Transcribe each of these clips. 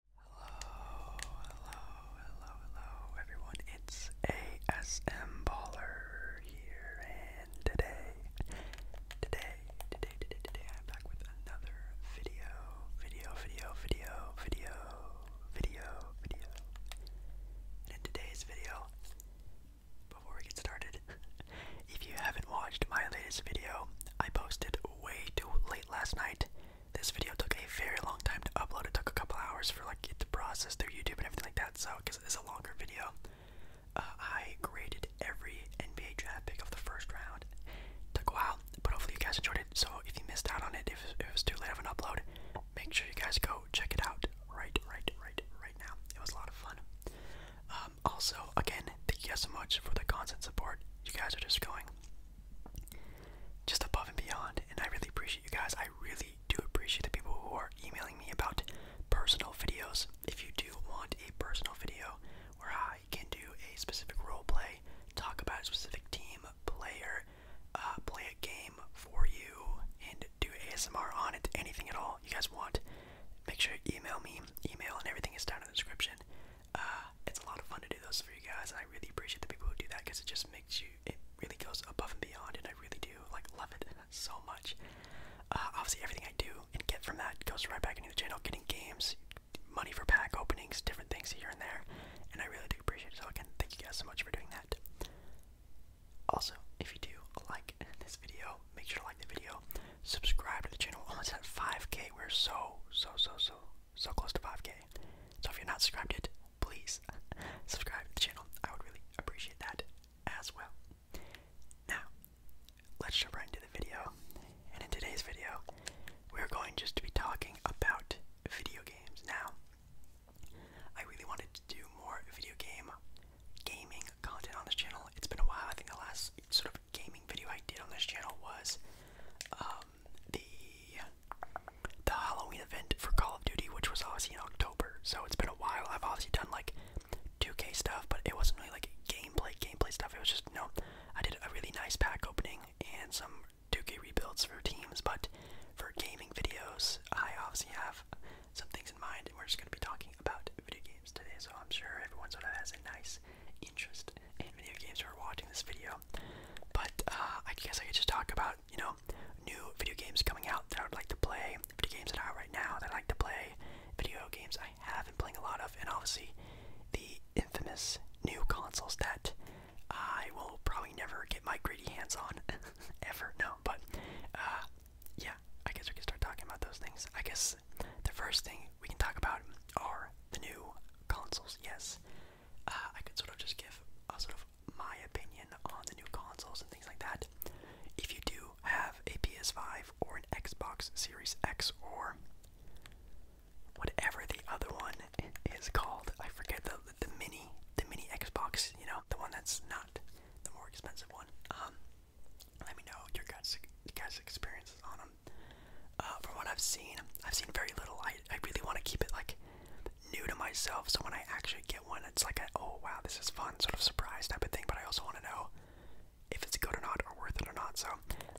Hello, hello, hello, hello, everyone. It's ASM Baller here, and today, today, today, today, today, I'm back with another video, video, video, video, video, video, video. And in today's video, before we get started, if you haven't watched my latest video, I posted way too late last night. This video took a very long time to upload. It took a couple hours for like it to process through YouTube and everything like that. So, because it's a longer video, uh, I graded every NBA draft pick of the first round. It took a while, but hopefully you guys enjoyed it. So, if you missed out on it, if, it was too late of an upload, make sure you guys go check it out right, right, right, right now. It was a lot of fun. Um, also, again, thank you guys so much for the constant support. You guys are just going just above and beyond. And I really appreciate you guys. I really do appreciate the people who are emailing me about personal videos. If you do want a personal video where I can do a specific role play, talk about a specific team, player, uh, play a game for you, and do ASMR on it, anything at all you guys want, make sure you email me. Email and everything is down in the description. Uh, it's a lot of fun to do those for you guys, I really appreciate the people who do that because it just makes you, it really goes above and beyond, and I really do like love it so much. Uh, obviously, everything I do and get from that goes right back into the channel, getting games, money for pack openings, different things here and there, and I really do appreciate it. So again, thank you guys so much for doing that. Also, if you do like this video, make sure to like the video, subscribe to the channel. Almost at 5k, we're so so so so so close to 5k. So if you're not subscribed yet, please subscribe to the channel. I would really appreciate that as well. Now, let's jump right into the video. And in today's video, we're going just to be talking about video games. Now, I really wanted to do more video game gaming content on this channel. It's been a while. I think the last sort of gaming video I did on this channel was uh, the the Halloween event for Call of Duty, which was obviously in October. So it's been a while. I've obviously done like 2K stuff, but it wasn't really like gameplay gameplay stuff. It was just no. I did a really nice pack opening and some 2K rebuilds for teams, but for gaming videos, I obviously have some things in mind, and we're just gonna be talking about video games today. So I'm sure everyone sort of has a nice interest in video games or watching this video. But uh, I guess I could just talk about, you know, new video games coming out that I would like to play, video games that are out right now that I like to play, video games I have been playing a lot of, and obviously the infamous new consoles that I will probably never get my greedy hands on, ever, no, but, uh, yeah, I guess we can start talking about those things. I guess the first thing we can talk about are the new consoles. Yes, uh, I could sort of just give a sort of my opinion on the new consoles and things like that. If you do have a PS5 or an Xbox Series X or whatever the other one is called, I forget the the mini the mini Xbox, you know, the one that's not the more expensive one. Um, let me know your guys' guys' experiences on them. Uh, from what I've seen, I've seen very little. I, I really want to keep it like new to myself, so when I actually get one, it's like, oh wow, this is fun, sort of surprise type of thing. But I also want to know if it's good or not, or worth it or not. So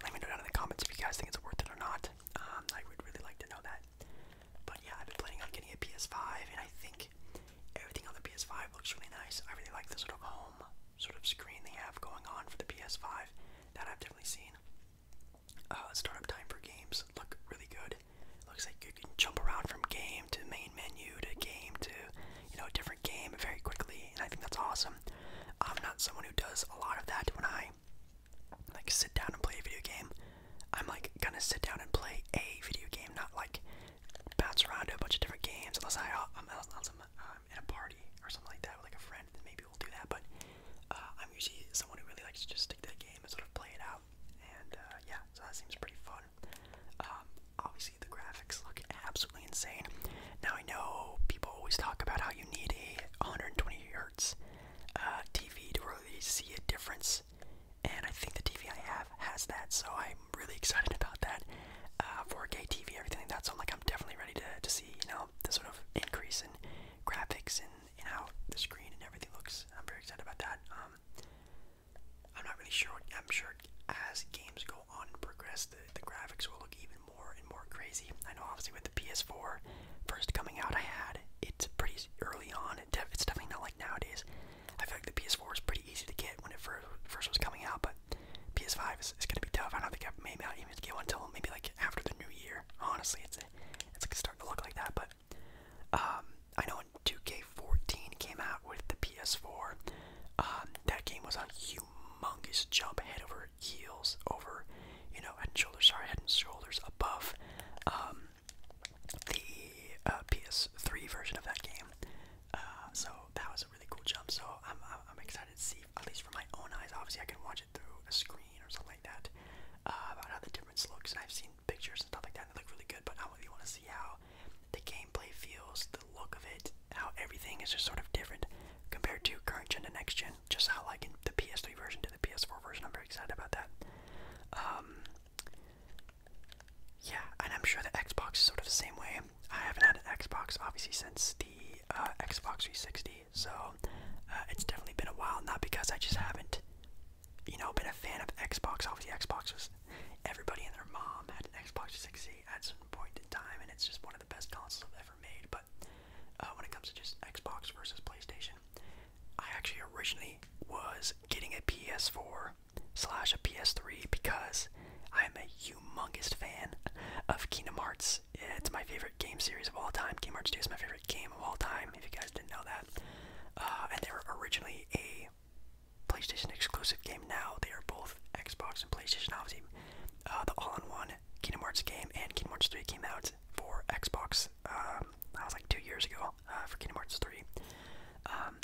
let me know down in the comments if you guys think it's worth it or not. Um, I would really like to know that. But yeah, I've been planning on getting a PS5, and I think everything on the PS5 looks really nice. I really like the sort of home sort of screen they have going on for the PS5 that I've definitely seen. Uh, startup time for games look really good. Looks like you can jump around from game to main menu to game to you know a different game very quickly, and I think that's awesome. I'm not someone who does a lot of that. When I like sit down and play a video game, I'm like gonna sit down and play a video game, not like bounce around to a bunch of different games unless I uh, I'm um, at a party or something like that with like a friend, then maybe we'll do that. But uh, I'm usually someone who really likes to just stick to the game and sort of play it out. And uh, yeah, so that seems pretty fun. Um, obviously, the graphics look absolutely insane. Now I know people always talk about how you need a 120 hertz uh, TV to really see a difference, and I think the TV I have has that. So I'm really excited about that. Uh, 4K TV, everything like that. So I'm like, I'm definitely ready to to see you know um, the sort of increase in graphics and, and how the screen and everything looks. I'm very excited about that. Um, I'm not really sure. I'm sure as games go on and progress, the, the graphics will look even more and more crazy. I know, obviously, with the PS4 first coming out, I had it's pretty early on. it's definitely not like nowadays. I feel like the PS4 is pretty easy to get when it first first was coming out, but PS5 is, going to be tough. I don't think I maybe I'll even get one until maybe like after the new year. Honestly, it's it's like starting to look like that. But um, I know when 2K14 came out with the PS4, um, that game was a humongous jump head over heels over, you know, head and shoulders. Sorry, head and shoulders above um, the uh, PS3 version of that game. Uh, so that was really cool job. So I'm, I'm excited to see, at least for my own eyes. Obviously, I can watch it through a screen or something like that uh, about how the difference looks. And I've seen pictures and stuff like that, and they look really good. But I really want to see how the gameplay feels, the look of it, how everything is just sort of different compared to current gen to next gen. Just how like in the PS3 version to the PS4 version. I'm very excited about that. Um, yeah, and I'm sure the Xbox is sort of the same way. I haven't had an Xbox obviously since the uh, Xbox 360, so uh, it's definitely been a while. Not because I just haven't, you know, been a fan of Xbox. Obviously, Xbox was everybody and their mom had an Xbox 360 at some point in time, and it's just one of the best consoles I've ever made. But uh, when it comes to just Xbox versus PlayStation, I actually originally was getting a PS4 slash a PS3 because I am a humongous fan of Kingdom Hearts. It's my favorite game series of all time. Kingdom Hearts 2 is my favorite game of all time, if you guys didn't know that. Uh, and they were originally a PlayStation exclusive game. Now they are both Xbox and PlayStation, obviously. Uh, the all-in-one Kingdom Hearts game and Kingdom Hearts 3 came out for Xbox. I um, was like two years ago uh, for Kingdom Hearts 3. Um,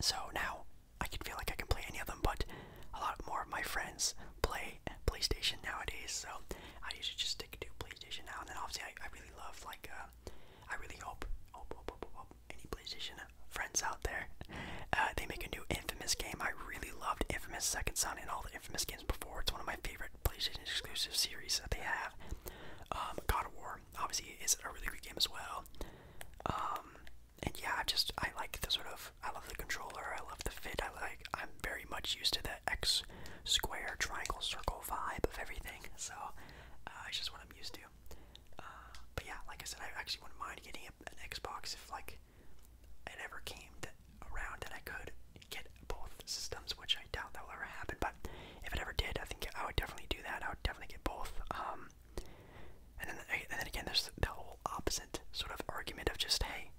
so now I can feel like I can play any of them, but a lot more of my friends play PlayStation nowadays, so I usually just stick to PlayStation now. And then obviously, I, I really love like uh, I really hope hope, hope, hope, any PlayStation friends out there uh, they make a new Infamous game. I really loved Infamous Second Son and all the Infamous games before. It's one of my favorite PlayStation exclusive series that they have. Um, God of War obviously is a really great game as well. Um, and yeah, I just I like the sort of I love the controller. I love the fit. I like I'm very much used to the X square triangle circle vibe of everything. So uh, it's just what I'm used to. Uh, but yeah, like I said, I actually wouldn't mind getting a, an Xbox if like it ever came to, around that I could get both systems, which I doubt that will ever happen. But if it ever did, I think I would definitely do that. I would definitely get both. Um, and then, and then again, there's the whole opposite sort of argument of just, hey,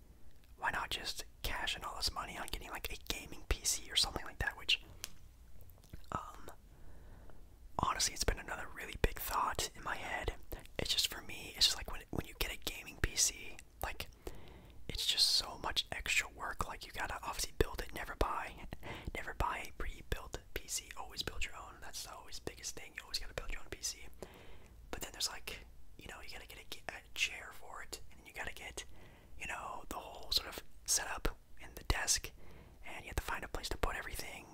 why not just cash in all this money on getting like a gaming PC or something like that? Which, um, honestly, it's been another really big thought in my head. It's just for me, it's just like when when you get a gaming PC, like it's just so much extra work. Like you gotta obviously build it, never buy, never buy a pre-built build. PC, always build your own. That's the always biggest thing. You always gotta build your own PC. But then there's like, you know, you gotta get a, a chair for it, and you gotta get, you know, the whole sort of setup and the desk, and you have to find a place to put everything,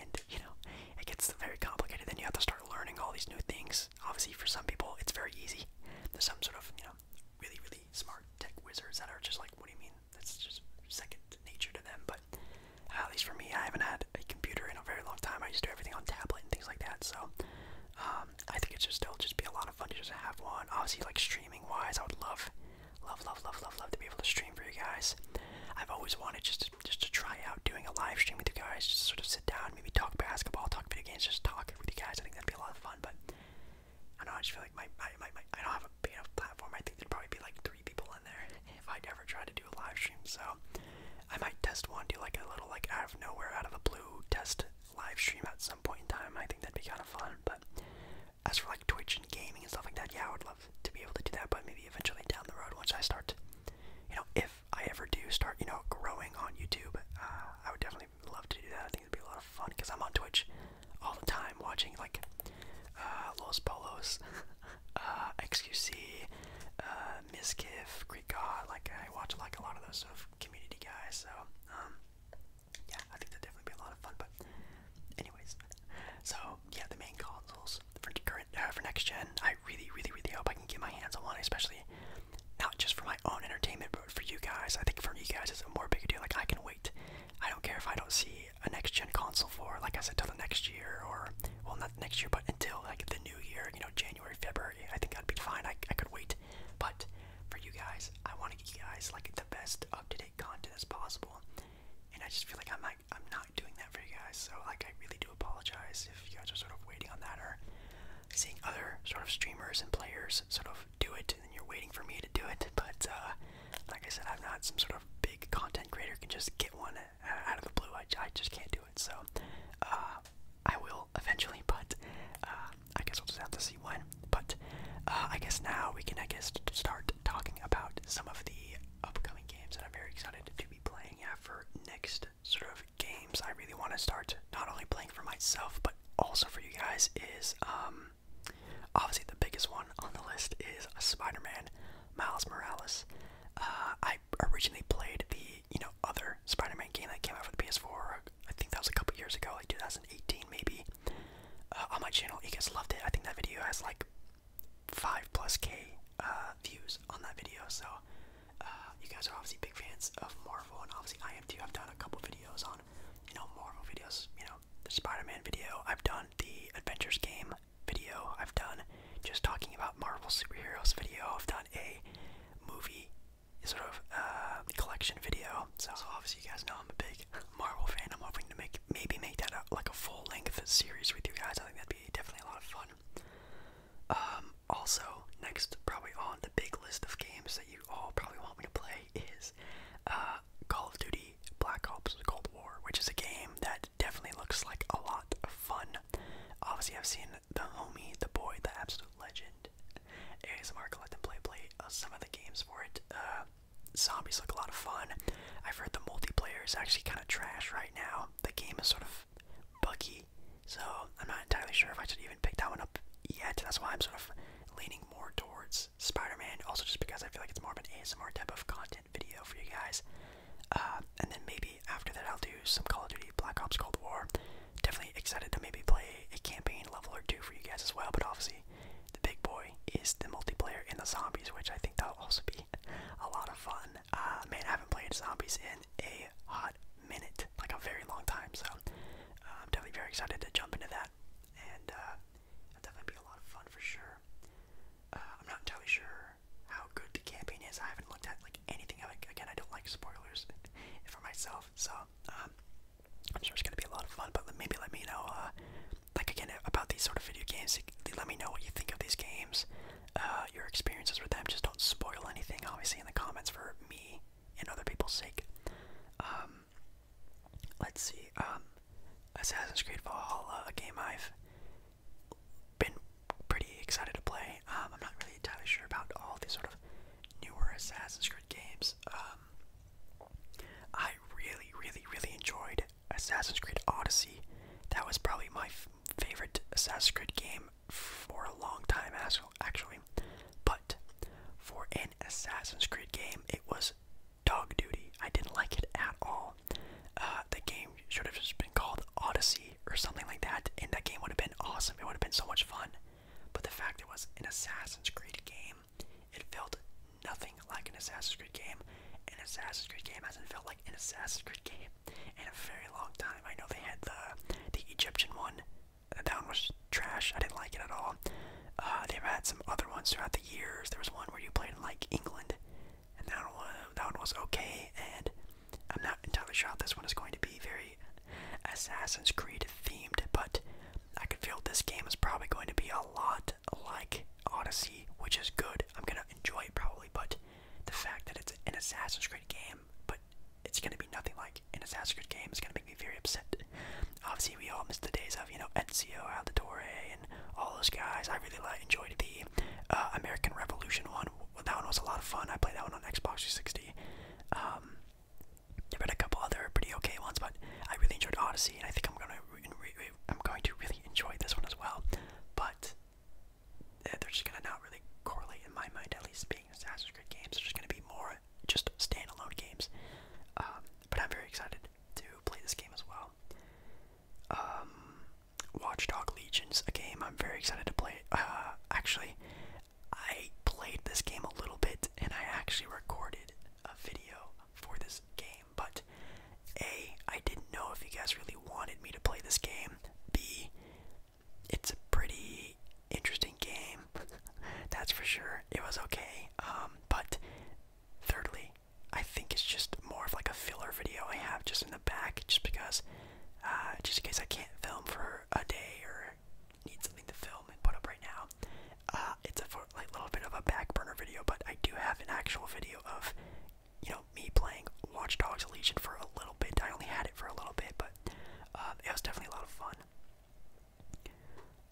and you know, it gets very complicated. Then you have to start learning all these new things. Obviously, for some people, it's very easy. There's some sort of, you know, really, really smart tech wizards that are just like, what do you mean? That's just second nature to them. But at least for me, I haven't had a computer in a very long time. I used to do everything on tablet and things like that. So um, I think it should still just be a lot of fun to just have one. Obviously, like streaming wise, I would love, love, love, love, love, love to be able to stream for you guys. I've always wanted just just to try out doing a live stream with you guys, just sort of sit down, maybe talk basketball, talk video games, just talk with you guys. I think that'd be a lot of fun. But I know. I just feel like my, my, my, my I don't have a big enough platform. I think there'd probably be like three people in there if i ever try to do a live stream. So I might test one, do like a little like out of nowhere, out of the blue test live stream at some point in time. I think that'd be kind of fun. But as for like Twitch and gaming and stuff like that, yeah, I would love to be able to do that. But maybe eventually down the road, once I start, you know, if I ever do start, you know, growing on YouTube, uh, I would definitely love to do that. I think it'd be a lot of fun because I'm on Twitch all the time watching like uh, Los Polos. uh, XQC, uh, Greek God. Like I watch like a lot of those sort community guys. So um, yeah, I think that'd definitely be a lot of fun. But anyways, so yeah, the main consoles for current uh, for next gen. I really, really, really hope I can get my hands on one, especially not just for my own entertainment, but for you guys. I think for you guys, it's a more bigger deal. Like I can wait. I don't care if I don't see a next gen console for, like I said, till the next year, or well, not next year, but until like the new year, you know, January, February. I think that'd be fine. I, I could wait, but for you guys, I want to get you guys like the best up to date content as possible, and I just feel like I'm not, I'm not doing that for you guys. So like, I really do apologize if you guys are sort of waiting on that or seeing other sort of streamers and players sort of do it, and you're waiting for me to do it, but. uh like I said, I'm not some sort of big content creator can just get one out of the blue. I, I just can't do it. So uh, I will eventually, but uh, I guess we'll just have to see when. But uh, I guess now we can I guess start talking about some of the upcoming games that I'm very excited to be playing. for next sort of games, I really want to start not only playing for myself but also for you guys is um, obviously the biggest one on the list is Spider-Man Miles Morales. Uh, I originally played the you know other Spider-Man game that came out for the PS4. I think that was a couple years ago, like 2018 maybe. Uh, on my channel, you guys loved it. I think that video has like five plus k uh, views on that video. So you guys are obviously big fans of Marvel, and obviously I am too. I've done a couple videos on you know Marvel videos. You know the Spider-Man video. I've done the Adventures game video I've done just talking about Marvel superheroes video. I've done a movie sort of uh, collection video. So, obviously you guys know I'm a big Marvel fan. I'm hoping to make maybe make that a, like a full length series with you guys. I think that'd be definitely a lot of fun. Um, also, next probably on the big list of games that you all probably want me to play is uh, Call of Duty Black Ops Cold War, which is a game that definitely looks like a lot of fun. Obviously, I've seen the homie, the boy, the absolute legend, ASMR Collect and Play play uh, some of the games for it. Uh, zombies look a lot of fun. I've heard the multiplayer is actually kind of trash right now. The game is sort of buggy, so I'm not entirely sure if I should even pick that one up yet. That's why I'm sort of leaning more towards Spider-Man, also just because I feel like it's more of an ASMR type of content video for you guys. Uh, and then maybe after that I'll do some Call of Duty Black Ops Cold War. Definitely excited to maybe play a campaign level or two for you guys as well, but obviously the big boy is the multiplayer in the zombies, which I think that'll also be a lot of fun. Uh, man, I haven't played zombies in a hot minute, like a very long time, so uh, I'm definitely very excited to jump into that. And that's that'll definitely be a lot of fun for sure. Uh, I'm not totally sure how good the campaign is. I haven't looked at like anything of it. Again, I don't like spoilers for myself, so um, I'm sure it's gonna be a lot of fun. But maybe let me know, uh, like again, about these sort of video games. Let me know what you think of these games, uh, your experiences with them. Just don't spoil anything, obviously, in the comments for me and other people's sake. Um, let's see, um, Assassin's Creed Valhalla, a game I've been pretty excited to play. Um, I'm not really entirely sure about all these sort of newer Assassin's Creed games. Um, I really, really, really enjoyed Assassin's Creed Odyssey. That was probably my favorite Assassin's Creed game for a long time, actually. But for an Assassin's Creed game, it was dog duty. I didn't like it at all. Uh, the game should have just been called Odyssey or something like that, and that game would have been awesome. It would have been so much fun. But the fact it was an Assassin's Creed game, it felt nothing like an Assassin's Creed game. An Assassin's Creed game hasn't felt like an Assassin's Creed game in a very long time. I know they had the the Egyptian one. That one was trash. I didn't like it at all. Uh, they've had some other ones throughout the years. There was one where you played in like England, and that one that one was okay. And I'm not entirely sure how this one is going to be very Assassin's Creed themed, but I can feel this game is probably going to be a lot like Odyssey, which is good. I'm gonna enjoy it probably, but the fact that it's an Assassin's Creed game, but it's gonna be nothing like an Assassin's Creed game is gonna make me very upset just obviously we all missed the days of you know Ezio Auditore and all those guys. I really like enjoyed the uh, American Revolution one. That one was a lot of fun. I played that one on Xbox 360. Um, I read a couple other pretty okay ones, but I really enjoyed Odyssey, and I think I'm gonna I'm going to really enjoy this one as well. But they're just gonna not really correlate in my mind, at least being Assassin's Creed games. They're just gonna be more just standalone games. Um, but I'm very excited to play this game as well. Um, Watchdog Legions, a game I'm very excited to play. Uh, actually, I played this game a little bit, and I actually recorded a video for this game. But a, I didn't know if you guys really wanted me to play this game. B, it's a pretty interesting game. That's for sure. It was okay. Um, but thirdly, I think it's just more of like a filler video I have just in the back, just because, uh, just in case I can't film for a day or need something to film and put up right now. Uh, it's a like little bit of a back burner video, but I do have an actual video of, you know, me playing Watch Dogs Legion for a little bit. I only had it for a little bit, but uh, it was definitely a lot of fun.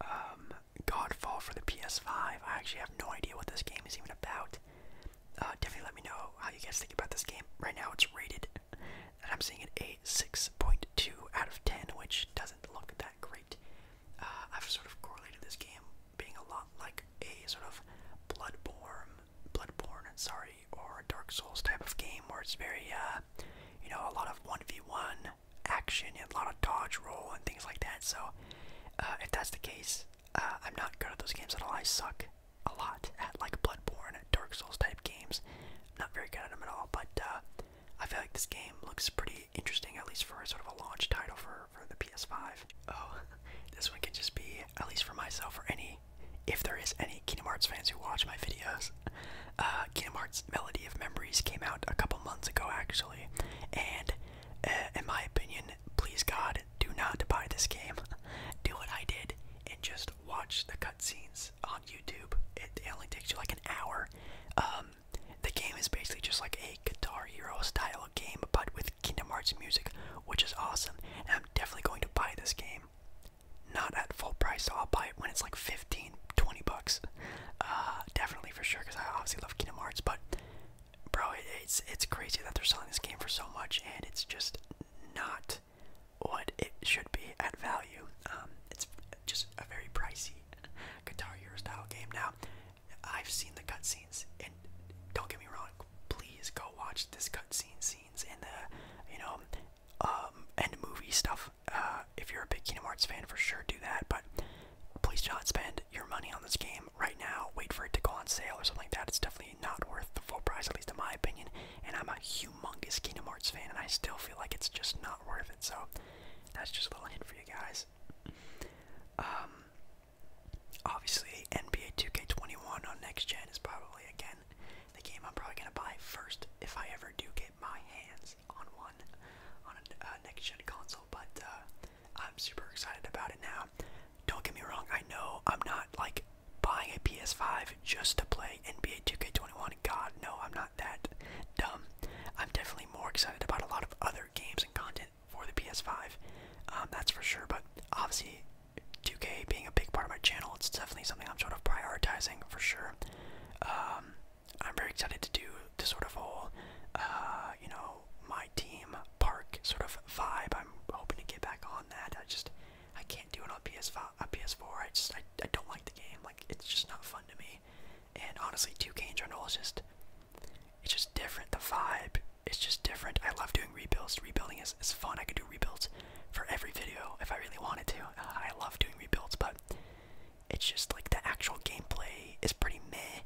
Um, Godfall for the PS5. I actually have no idea what this game is even about. Uh, definitely let me know how you guys think about this game. Right now it's rated, and I'm seeing it a 6.2 out of 10, which doesn't look that great. Uh, I've sort of correlated this game being a lot like a sort of Bloodborne, Bloodborne, sorry, or Dark Souls type of game where it's very, uh, you know, a lot of 1v1, action and a lot of dodge roll and things like that. So, uh, if that's the case, uh, I'm not good at those games at all. I suck a lot at like Bloodborne, Dark Souls type games. I'm not very good at them at all. But uh, I feel like this game looks pretty interesting, at least for a, sort of a launch title for for the PS5. Oh, this one could just be at least for myself or any, if there is any Kingdom Hearts fans who watch my videos. Kingdom Hearts Melody, of Memories came out a couple months ago, actually. And uh, in my opinion, please God, do not buy this game. do what I did and just watch the cutscenes on YouTube. It, only takes you like an hour. Um, the game is basically just like a Guitar Hero style game, but with Kingdom Hearts music, which is awesome. And I'm definitely going to buy this game. Not at full price, so I'll buy it when it's like 50 15, bucks. Uh, definitely for sure, because I obviously love Kingdom Hearts, but bro, it's it's crazy that they're selling this game for so much, and it's just not what it should be at value. Um, it's just a very pricey Guitar Hero style game. Now, I've seen the cutscenes, and don't get me wrong, please go watch this cutscene scenes and the you know um, end movie stuff uh, if you're a big Kingdom Hearts fan, for sure do that. But please do not spend your money on this game right now. Wait for it to go on sale or something like that. It's definitely not worth the full price, at least in my opinion. And I'm a humongous Kingdom Hearts fan, and I still feel like it's just not worth it. So that's just a little hint for you guys. Um, obviously, NBA 2K21 on next gen is probably again the game I'm probably gonna buy first if I ever do get my hands on one on a uh, next gen console, but uh, I'm super excited about it now. Don't get me wrong, I know I'm not like buying a PS5 just to play NBA 2K21. God, no, I'm not that dumb. I'm definitely more excited about a lot of other games and content for the PS5. Um, that's for sure. But obviously, 2K being a big part of my channel, it's definitely something I'm sort of prioritizing for sure. Um, I'm very excited to do this sort of whole, uh, you know, my team park sort of vibe. I'm hoping to get back on that. I just I can't do it on PS5, on PS4. I just I, I don't like the game. Like it's just not fun to me. And honestly, 2K in all. is just it's just different. The vibe it's just different. I love doing rebuilds. Rebuilding is is fun. I could do rebuilds for every video if I really wanted to. Uh, I love doing rebuilds, but it's just like the actual gameplay is pretty meh.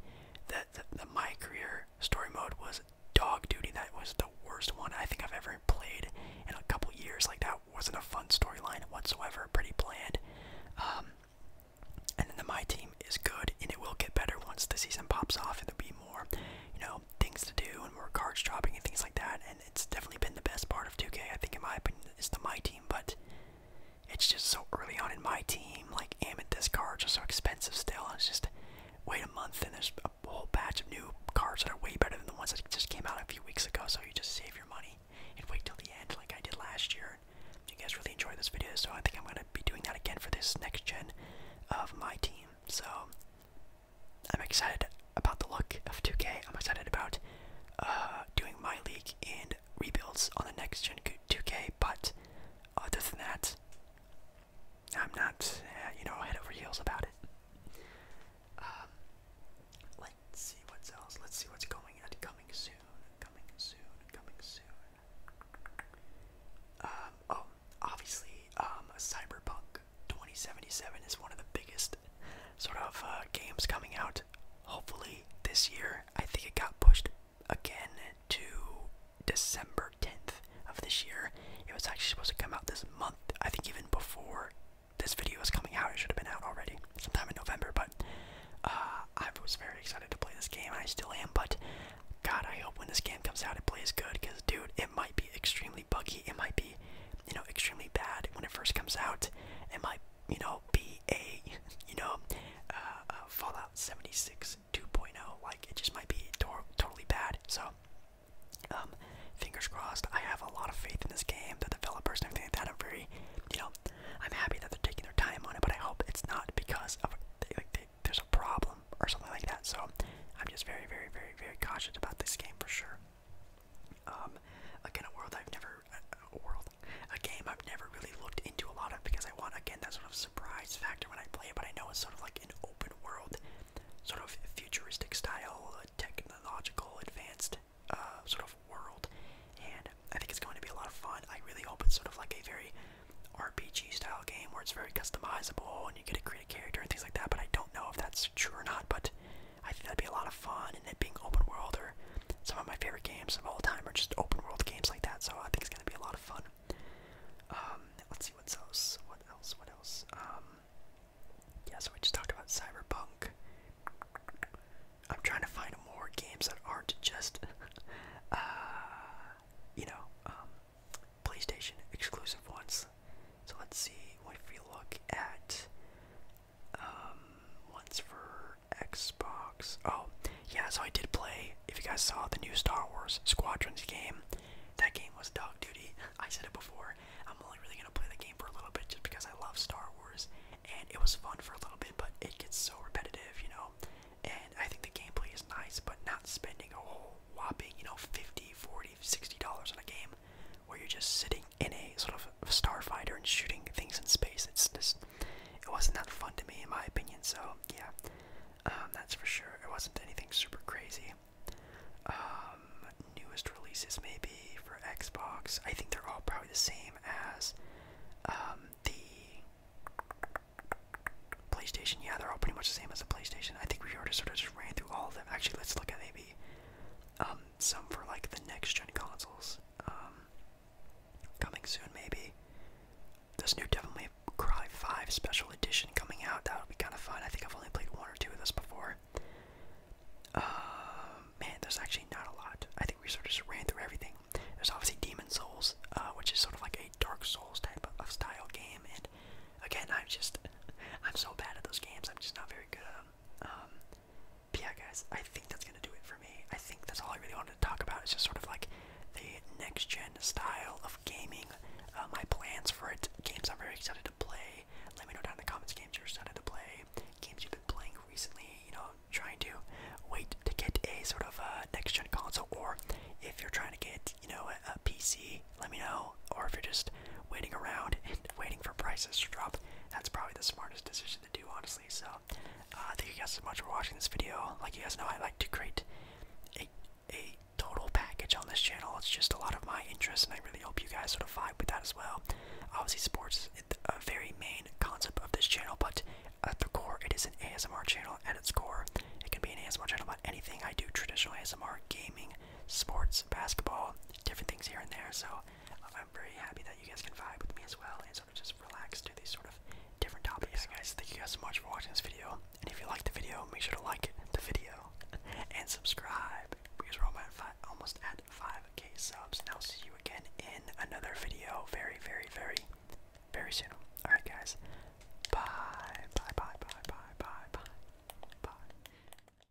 The, the, the my career story mode was dog duty. That was the worst one I think I've ever played in a couple years. Like that wasn't a fun storyline whatsoever. Pretty bland. Um, and then the my team is good, and it will get better once the season pops off, and there'll be more, you know, things to do and more cards dropping and things like that. And it's definitely been the best part of 2K, I think, in my opinion, it's the my team. But it's just so early on in my team. Like Amethyst cards are so expensive still. And it's just wait a month and there's a whole batch of new cars that are way better than the ones that just came out a few weeks ago. So you just save your money and wait till the end, like I did last year. You guys really enjoyed this video, so I think I'm gonna be doing that again for this next gen of my team. So I'm excited about the look of 2K. I'm excited about uh, doing my league in rebuilds on the next gen 2K, but other than that, I'm not, eh, you know, head over heels about it. Um, let's see what's else. Let's see what's coming at coming soon. Coming soon. Coming soon. Um, oh, obviously, um, Cyberpunk 2077 is one of the biggest sort of uh, games coming out hopefully this year. I think it got pushed again to December 10th of this year. It was actually supposed to come out this month. I think even before this video is coming out, it should have been out already sometime in November. But uh, I was very excited to play this game, I still am. But God, I hope when this game comes out, it plays good because, dude, it might be extremely buggy. It might be you know extremely bad when it first comes out. It might you know be a you know uh, Fallout 76 2.0 like it just might be totally bad. So um, fingers crossed. I have a lot of faith in this game, the developers and everything like that. I'm very you know I'm happy that they're taking their time on it, but I hope it's not because of they, like there's a problem or something like that. So I'm just very very very very cautious about this game for sure. Um, again, a world I've never Outer World, a game I've never really looked into a lot of because I want again that sort of surprise factor when I play But I know it's sort of like an open world, sort of futuristic style, technological, advanced uh, sort of world, and I think it's going to be a lot of fun. I really hope it's sort of like a very RPG style game where it's very customizable and you get to create a character and things like that. But I don't know if that's true or not. But I think that'd be a lot of fun, and it being open world, or some of my favorite games of all time are just open world games like that. So I think it's gonna be a lot of fun. Um, let's see what else. What else? What else? Um, yeah. So we just talked about Cyberpunk. I'm trying to find more games that aren't just, uh, you know, um, PlayStation exclusive ones. So let's see if we look at um, for Xbox. Oh, yeah, so I did play, if you guys saw the new Star Wars Squadrons game, that game was dog duty. I said it before. I'm only really gonna play the game for a little bit just because I love Star Wars, and it was fun for a little bit, but it gets so repetitive, you know? And I think the gameplay is nice, but not spending a whole whopping, you know, 50 40 $60 on a game where you're just sitting in a sort of starfighter and shooting things in space. It's just, it wasn't that fun to me, in my opinion. So yeah, um, that's for sure. It wasn't anything super crazy. Um, newest releases maybe for Xbox. I think they're all probably the same as um, the PlayStation. Yeah, they're all pretty much the same as the PlayStation. I think we already sort of just ran through all of them. Actually, let's look at maybe um, um, some for like the next gen consoles. Um, coming soon, maybe. This new Devil May Cry 5 Special Edition coming out. That would be kind of fun. I think I've only played one or two of those before. Uh, man, there's actually not a lot. I think we sort of ran through everything. There's obviously Demon Souls, uh, which is sort of like a Dark Souls type of style game. And again, I'm just, I'm so bad at those games. I'm just not very good at them. Um, yeah, guys, I think that's gonna do it for me. I think that's all I really wanted to talk about. It's just sort of like the next gen style of gaming, uh, my plans for it, games I'm very excited to play. Let me know down in the comments games you're excited to play, games you've been playing recently. You know, trying to wait to get a sort of uh, next gen console, or if you're trying to get you know a PC, let me know. Or if you're just waiting around and waiting for prices to drop, that's probably the smartest decision to do, honestly. So, uh, thank you guys so much for watching this video. Like you guys know, I like to create a, a total package on this channel. It's just a lot of my interests, and I really hope you guys sort of vibe with that as well. Obviously, sports is a uh, very main concept of this channel, but at the core, it is an ASMR channel at its core. It can be an ASMR channel about anything I do traditional ASMR, gaming, sports, basketball, different things here and there. So, I'm very happy that you guys can vibe with me as well and sort of just relax do these sort of different topics. guys, thank you guys so much for watching this video. And if you liked the video, make sure to like the video and subscribe because we're almost at, 5k subs. And I'll see you again in another video very, very, very, very soon. Alright, guys. Bye, bye, bye, bye, bye, bye. Bye.